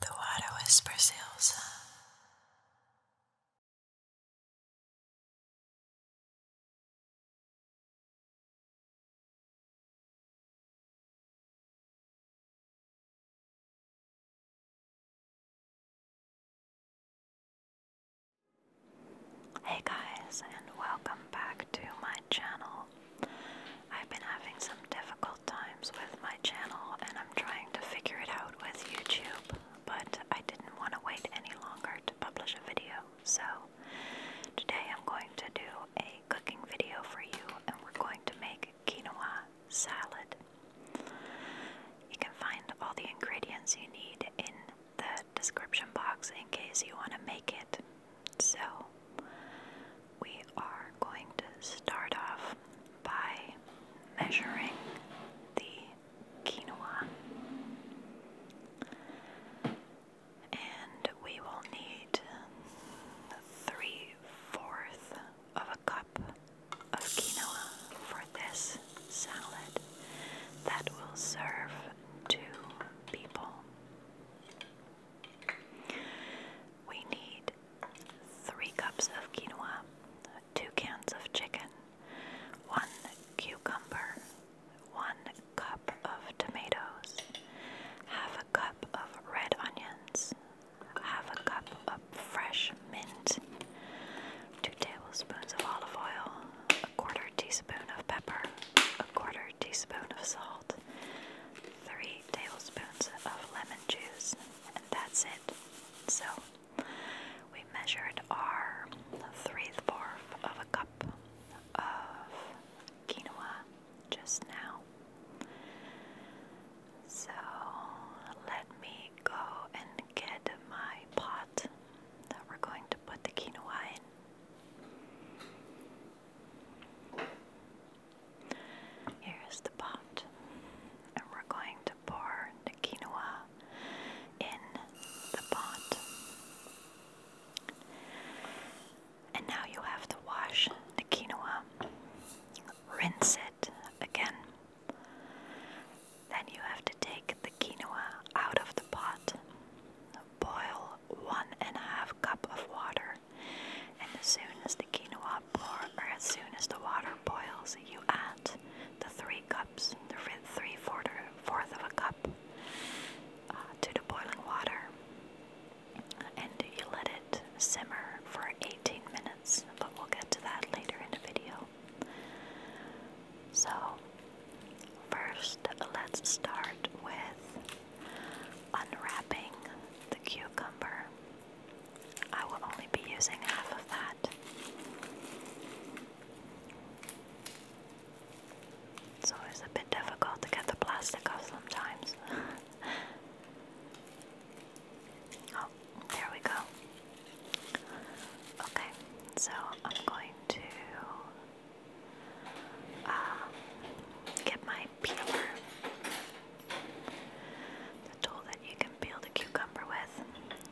The water whispers Ilsa. Hey guys, and welcome back to my channel. I've been having some difficult times with my channel and I'm trying to figure it out with YouTube, but I didn't want to wait any longer to publish a video. So today I'm going to do a cooking video for you and we're going to make quinoa salad. You can find all the ingredients you need in the description box in case you want to make it. So we are going to start off by measuring the quinoa. And we will need three fourths of a cup of quinoa for this salad that will serve two people we need three cups of quinoa, two cans of chicken, one cucumber, one cup of tomatoes, half a cup of red onions, half a cup of fresh mint, two tablespoons of olive oil, a quarter teaspoon of pepper, a quarter teaspoon of salt. 3 tablespoons of lemon juice, and that's it. So, we measured our 3 fourth of a cup of quinoa just now. So, let me go and get my pot that we're going to put the quinoa in. Here's the pot, and we're going to pour the quinoa in the pot. And now you have to wash the quinoa, rinse it again. Then you have to take the quinoa out of the pot, boil one and a half cup of water and as soon as the quinoa pour, or as soon as the water boils, you add the three cups, the three fourth of a cup, uh, to the boiling water, and you let it simmer for 18 minutes. But we'll get to that later in the video. So, first, let's start with unwrapping the cucumber. I will only be using half of that. It's always a bit difficult to get the plastic off sometimes. oh, there we go. Okay, so I'm going to uh, get my peeler the tool that you can peel the cucumber with.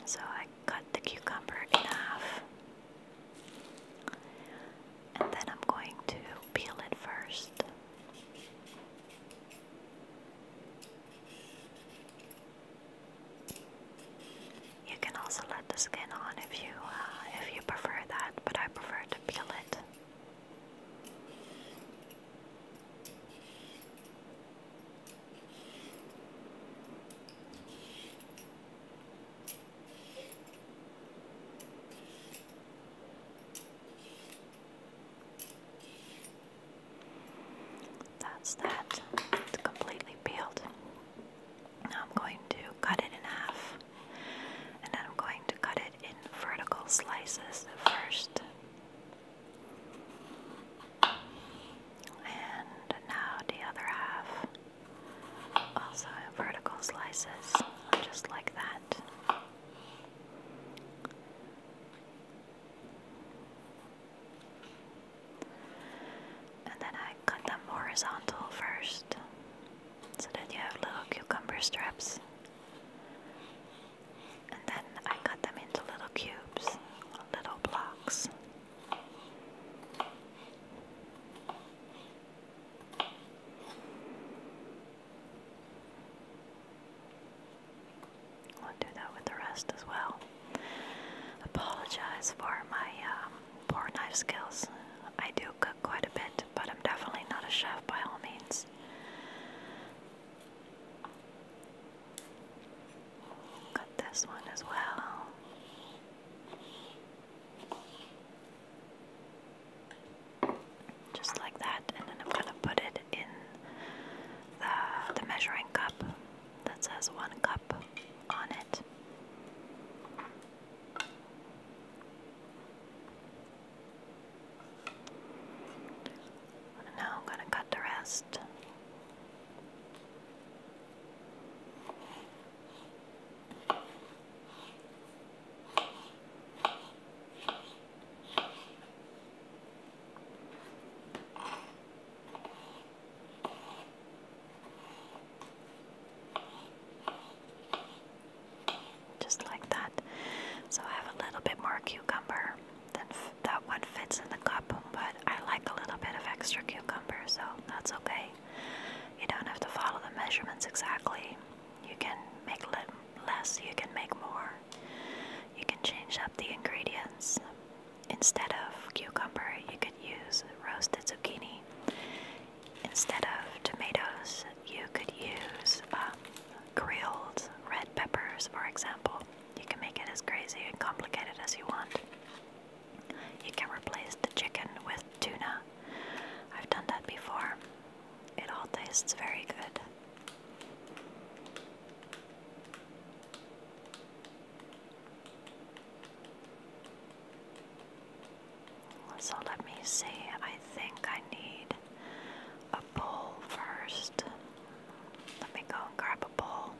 So I cut the cucumber in half. And then I'm going to peel it first. You can also let the skin on if you uh, if you prefer that, but I prefer to peel it. That's that. It's completely peeled. Now I'm going to cut it in half and I'm going to cut it in vertical slices first. And now the other half, also in vertical slices, just like that. And then I cut them horizontal first, so that you have little cucumber strips. And then I cut them into little cubes, little blocks. will do that with the rest as well. Apologize for my um, poor knife skills. I do cook quite a bit, but I'm definitely not a chef by all means. Got this one as well. Just like that, and then I'm gonna put it in the, the measuring cup that says one cup on it now I'm going to cut the rest just like that. So I have a little bit more cucumber than that one fits in the cup, but I like a little bit of extra cucumber, so that's okay. You don't have to follow the measurements exactly. You can make less, you can make more. You can change up the ingredients. Instead of cucumber, you could use roasted zucchini instead of tomatoes, you could use um, grilled red peppers, for example. You can make it as crazy and complicated as you want. You can replace the chicken with tuna. I've done that before. It all tastes very good. So let me see, I think I need a bowl first. Let me go and grab a bowl.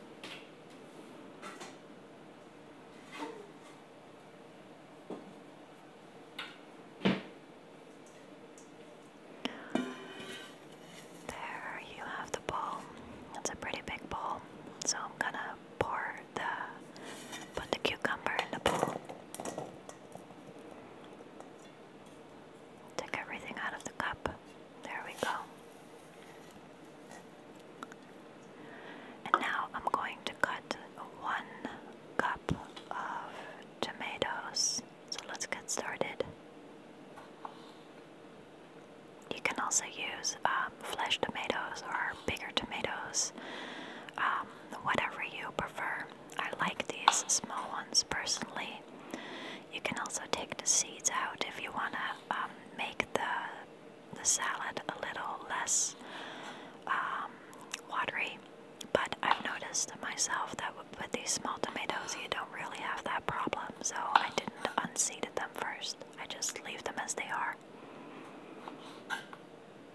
There you have the bowl. It's a pretty big bowl, so I'm gonna pour put the cucumber in the bowl. Take everything out of the cup. There we go. And now I'm going to cut one cup of tomatoes. So let's get started. You can also use um, flesh tomatoes or bigger tomatoes. Um, whatever you prefer. I like these small ones personally. You can also take the seeds out if you want to um, make the, the salad a little less um, watery. But I've noticed myself that with these small tomatoes, you don't really have that problem, so I didn't unseeded them first. I just leave them as they are.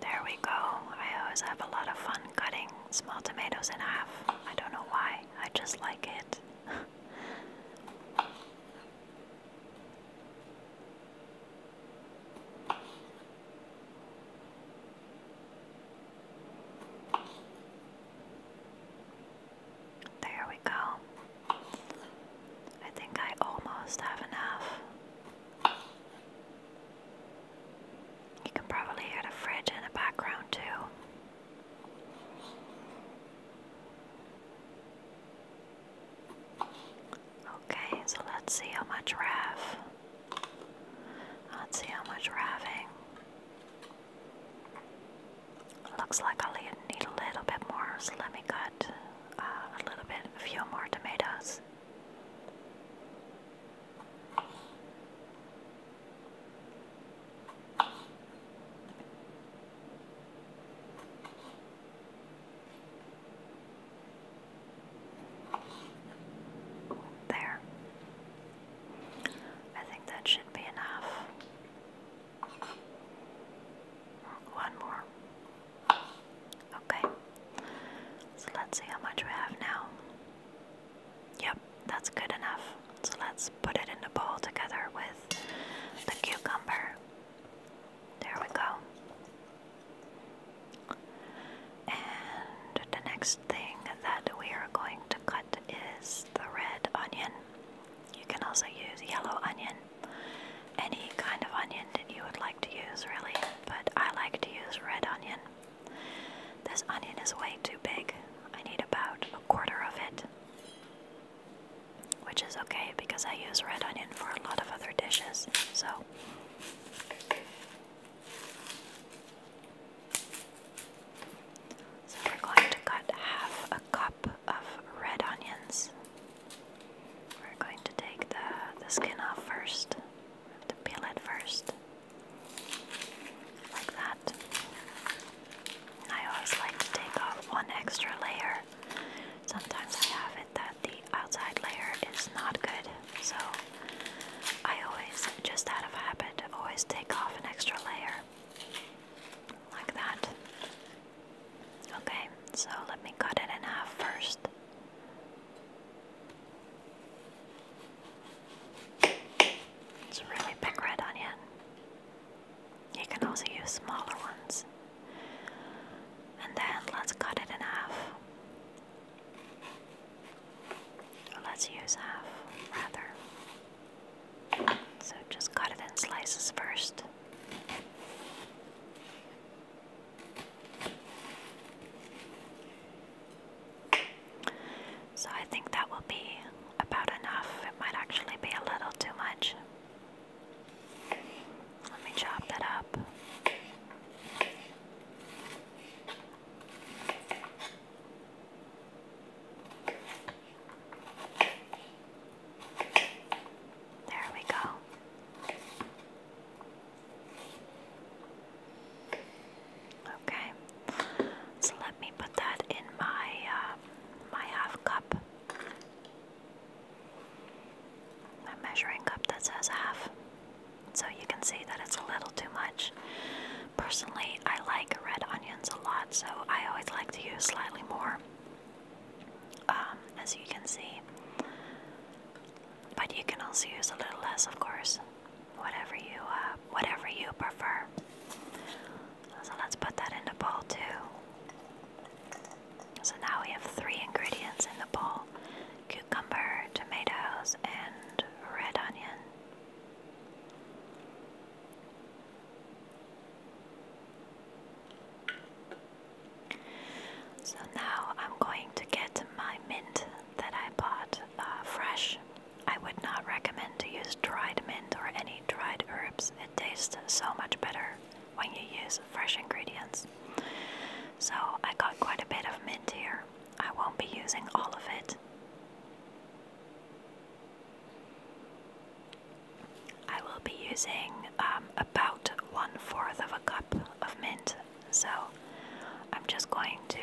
There we go. I always have a lot of fun cutting small tomatoes in half. I don't know why, I just like it. There we go. I think I almost have enough. You can probably hear the fridge in the background too. Okay, so let's see how much Rav. Let's see how much Raving. Looks like I'll need a little bit more, so let me cut uh, a little bit, a few more tomatoes. There. I think that should be enough. One more. Okay. So let's see how much we have now. Yep, that's good enough. So let's put it in the bowl together with the cucumber. There we go. And the next thing that we are going to cut is the red onion. You can also use yellow onion, any kind of onion that you would like to use, really, but I like to use red onion. This onion is way too big. I need about a quarter of it, which is okay because I use red onion for a lot of other dishes, so. So we're going to cut half a cup of red onions. We're going to take the, the skin off first. have to peel it first. Like that. I always like to take off one extra layer. Sometimes I have it that the outside layer is not good, so I always, just out of habit, always take off an extra layer like that. Okay, so let me cut it in half first. It's a really big red onion. You can also use smaller ones. And then let's cut it in half. Let's use half rather. So just cut it in slices first. So I think that will be about enough. It might actually be a little too much. Let me chop that up. There we go. Okay, so let me put that in my uh, my half cup, my measuring cup that says half, so you can see that it's a little too much. Personally, I like red onion a lot, so I always like to use slightly more, um, as you can see. But you can also use a little less, of course, whatever you uh, whatever you prefer. So let's put that in the bowl too. So now we have three ingredients in the bowl: cucumber, tomatoes, and red onion. So now I'm going to get my mint that I bought uh, fresh. I would not recommend to use dried mint or any dried herbs. It tastes so much better when you use fresh ingredients. So I got quite a bit of mint here. I won't be using all of it. I will be using um, about one fourth of a cup of mint, so I'm just going to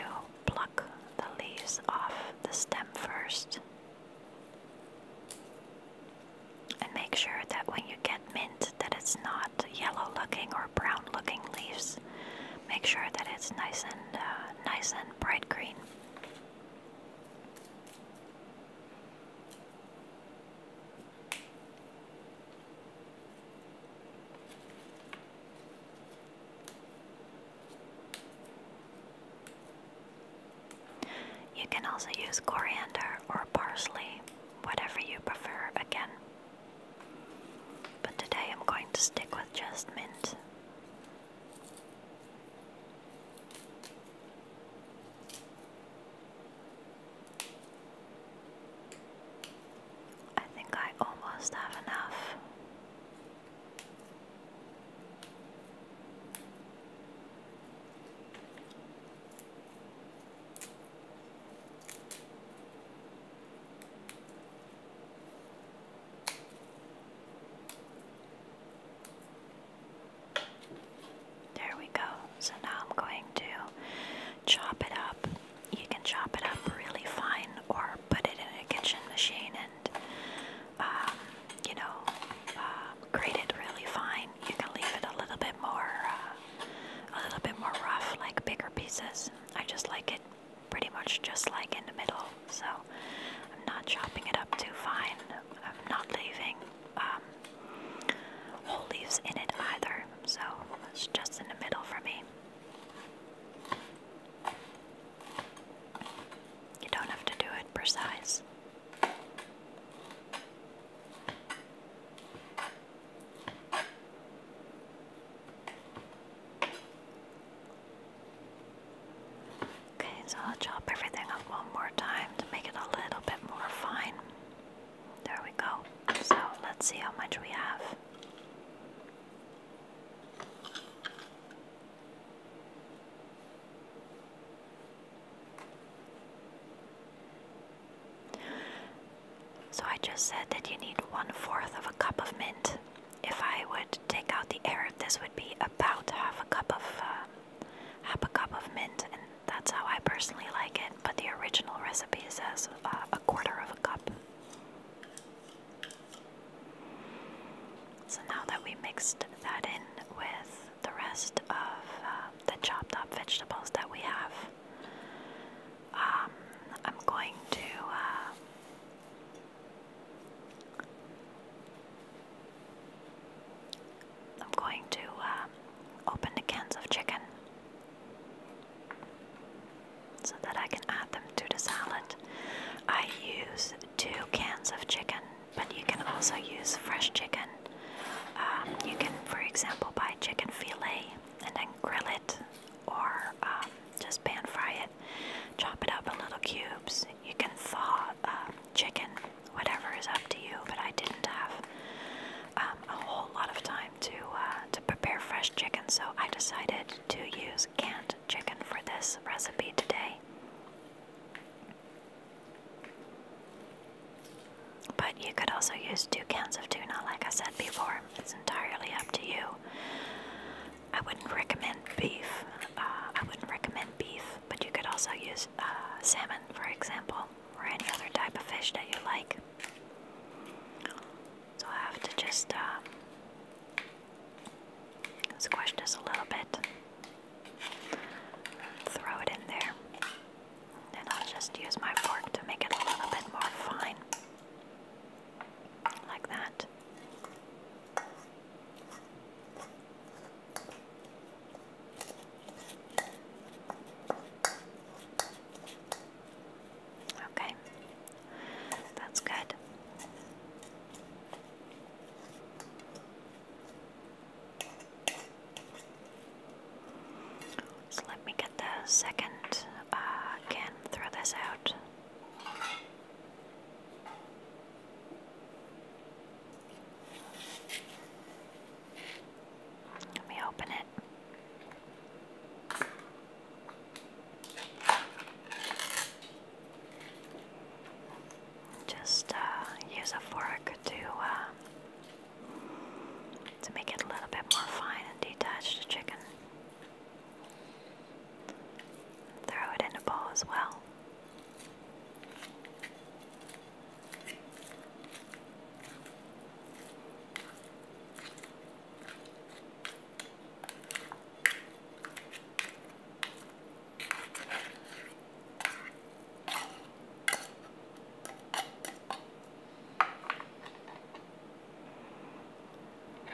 pluck the leaves off the stem first. And make sure that when you get mint that it's not yellow looking or brown looking leaves. Make sure that it's nice and uh, nice and bright green. You can also use coriander or parsley, whatever you prefer again. But today I'm going to stick with just mint. I think I almost have enough. There we go. So now I'm going to chop it up. You can chop it up really fine or put it in a kitchen machine and, um, you know, uh, grate it really fine. You can leave it a little bit more, uh, a little bit more rough, like bigger pieces. I just like it pretty much just like in the middle so I'm not chopping it up too fine. I'm not leaving um, whole leaves in it either, so it's just in the middle for me. You don't have to do it precise. Okay, so I'll chop everything up one more time to make it a little bit more fine. There we go. So let's see how much we have. So I just said that you need one fourth of a cup of mint if I would take out the air, this would be about half a cup of uh, half a cup of mint, and that's how I personally like it. But the original recipe says uh, a quarter of a cup. So now that we mixed that in with the rest of uh, the chopped up vegetables that we have, um, I'm going to. I'm going to um, open the cans of chicken so that I can add them to the salad. I use two cans of chicken, but you can also use fresh chicken. Um, you can, for example, buy chicken filet and then grill it or um, just pan fry it chop it up in little cubes. You can thaw um, chicken, whatever is up to you. But I didn't have um, a whole lot of time to uh, to prepare fresh chicken, so I decided to use canned chicken for this recipe today. But you could also use two cans of tuna, like I said before. It's entirely up to you. I wouldn't recommend beef. Uh, I wouldn't recommend beef, but you could also use uh, salmon, for example, or any other type of fish that you like. So I have to just uh, squash this a little bit, throw it in there, and I'll just use my fork to make it a little bit more fine. Like that. Okay, that's good. So let me get the second uh, throw this out. Let me open it. Just uh, use a fork to uh, to make it a little bit more fine and detached, chicken. Throw it in a bowl as well.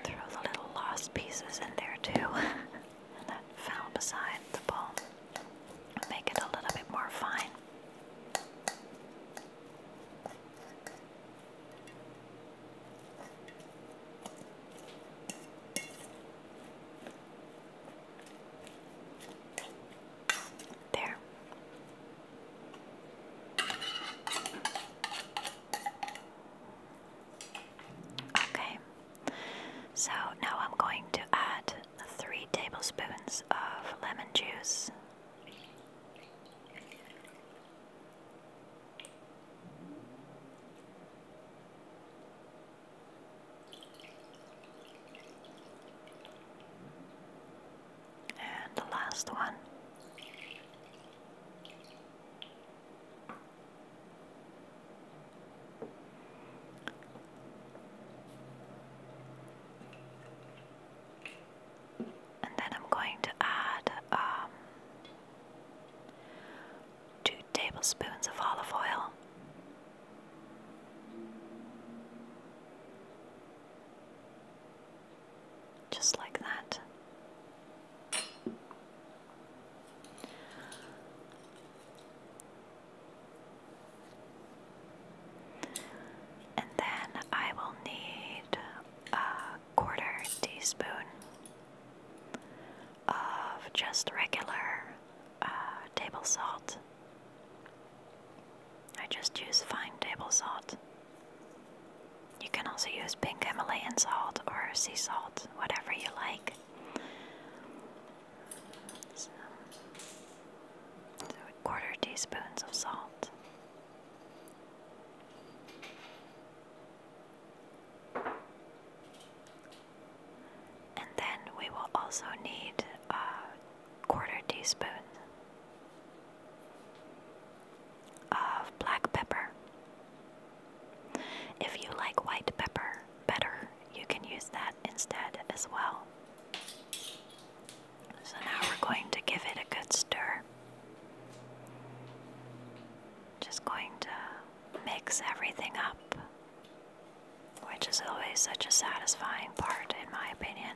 Throw the little lost pieces in there too that fell beside the bowl. Make it a little bit more fine. There. Okay, so now I'm going to add three tablespoons of lemon juice. And the last one. And then I'm going to add um, two tablespoons of olive oil. Just like that. And then I will need a quarter teaspoon of just regular uh, table salt. I just use fine table salt. You can also use pink Himalayan salt or sea salt, whatever you like. So, a quarter teaspoons of salt. And then we will also need a quarter teaspoon of black pepper. If you like white pepper better, you can use that instead as well. So now we're going to give it a good stir. Just going to mix everything up, which is always such a satisfying part, in my opinion.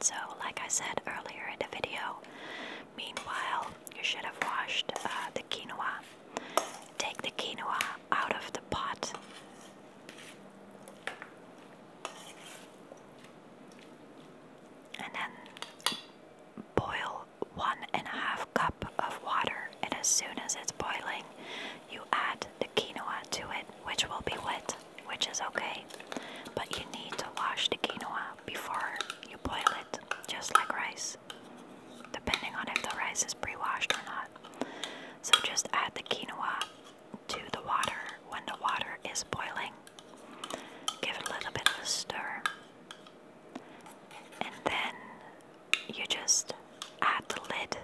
So, like I said earlier in the video, meanwhile, you should have washed uh, the quinoa. Take the quinoa out of the pot. And then boil one and a half cup of water, and as soon as it's boiling, you add quinoa to it, which will be wet, which is okay. But you need to wash the quinoa before you boil it, just like rice, depending on if the rice is pre washed or not. So just add the quinoa to the water when the water is boiling. Give it a little bit of a stir. And then you just add the lid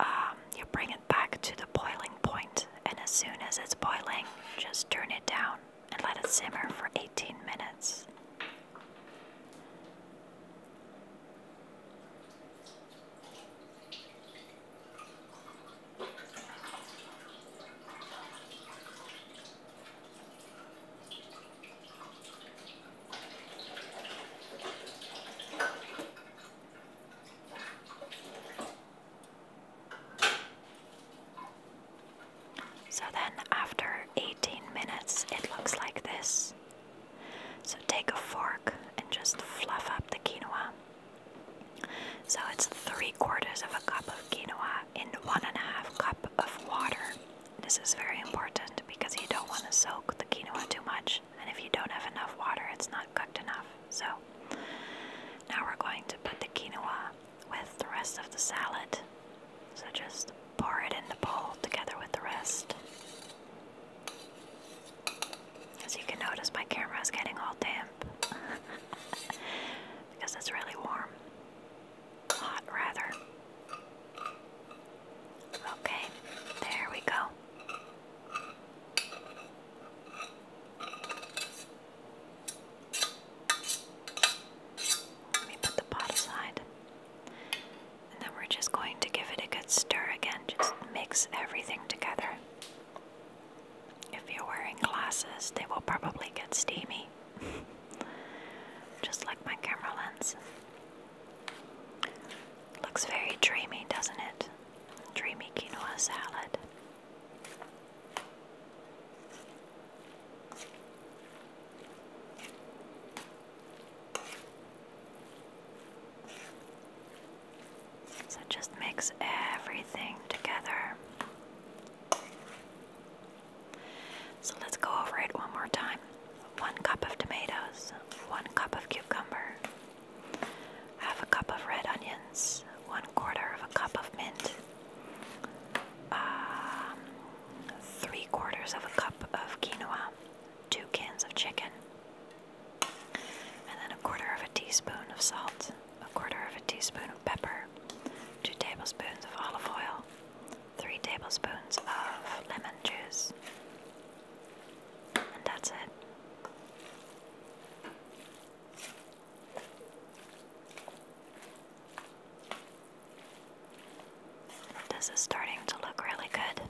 um, you bring it back to the boiling point, and as soon as it's boiling, just turn it down and let it simmer for 18 minutes. So then, after 18 minutes, it looks like this. So take a fork and just fluff up the quinoa. So it's three quarters of a cup of quinoa in one and a half cup of water. This is very important because you don't want to soak the quinoa too much and if you don't have enough water, it's not cooked enough. So now we're going to put the quinoa with the rest of the salad. So just pour it in the bowl together with the rest. As you can notice, my camera is getting all damp because it's really warm. Hot, rather. Okay, there we go. Let me put the pot aside. And then we're just going to give it a good stir again. Just mix everything together. If you're wearing glasses, they will probably get steamy. just like my camera lens. Looks very dreamy, doesn't it? Dreamy quinoa salad. So just mix everything together. So let's go over it one more time. 1 cup of tomatoes, 1 cup of cucumber, half a cup of red onions, 1 quarter of a cup of mint, um, 3 quarters of a cup of quinoa, 2 cans of chicken, and then a quarter of a teaspoon of salt, a quarter of a teaspoon of pepper, 2 tablespoons of olive oil, 3 tablespoons of lemon juice, and that's it. This is starting to look really good.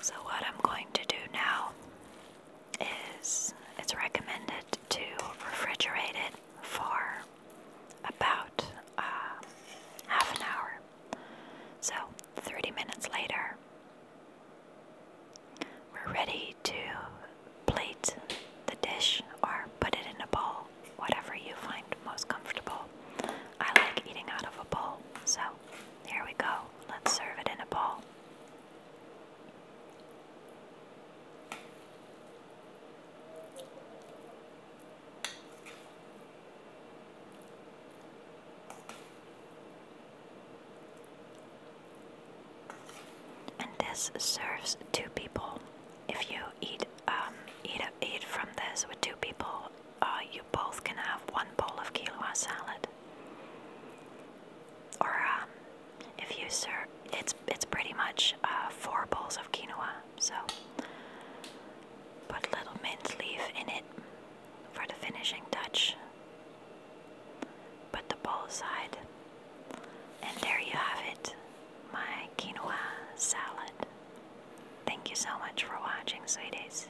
So, what I'm going to do now is it's recommended to refrigerate it for about uh, half an hour. So, 30 minutes later, we're ready to plate the dish or put it in a bowl, whatever you find most comfortable. I like eating out of a bowl, so here we go. Let's serve it in a bowl. And this serves two people. If you eat um, eat eat from this with two people, uh, you both can have one bowl of quinoa salad. Or um, if you serve, it's it's pretty much uh, four bowls of quinoa so put a little mint leaf in it for the finishing touch. Put the bowl aside, and there you have it my quinoa salad. Thank you so much for watching, sweeties.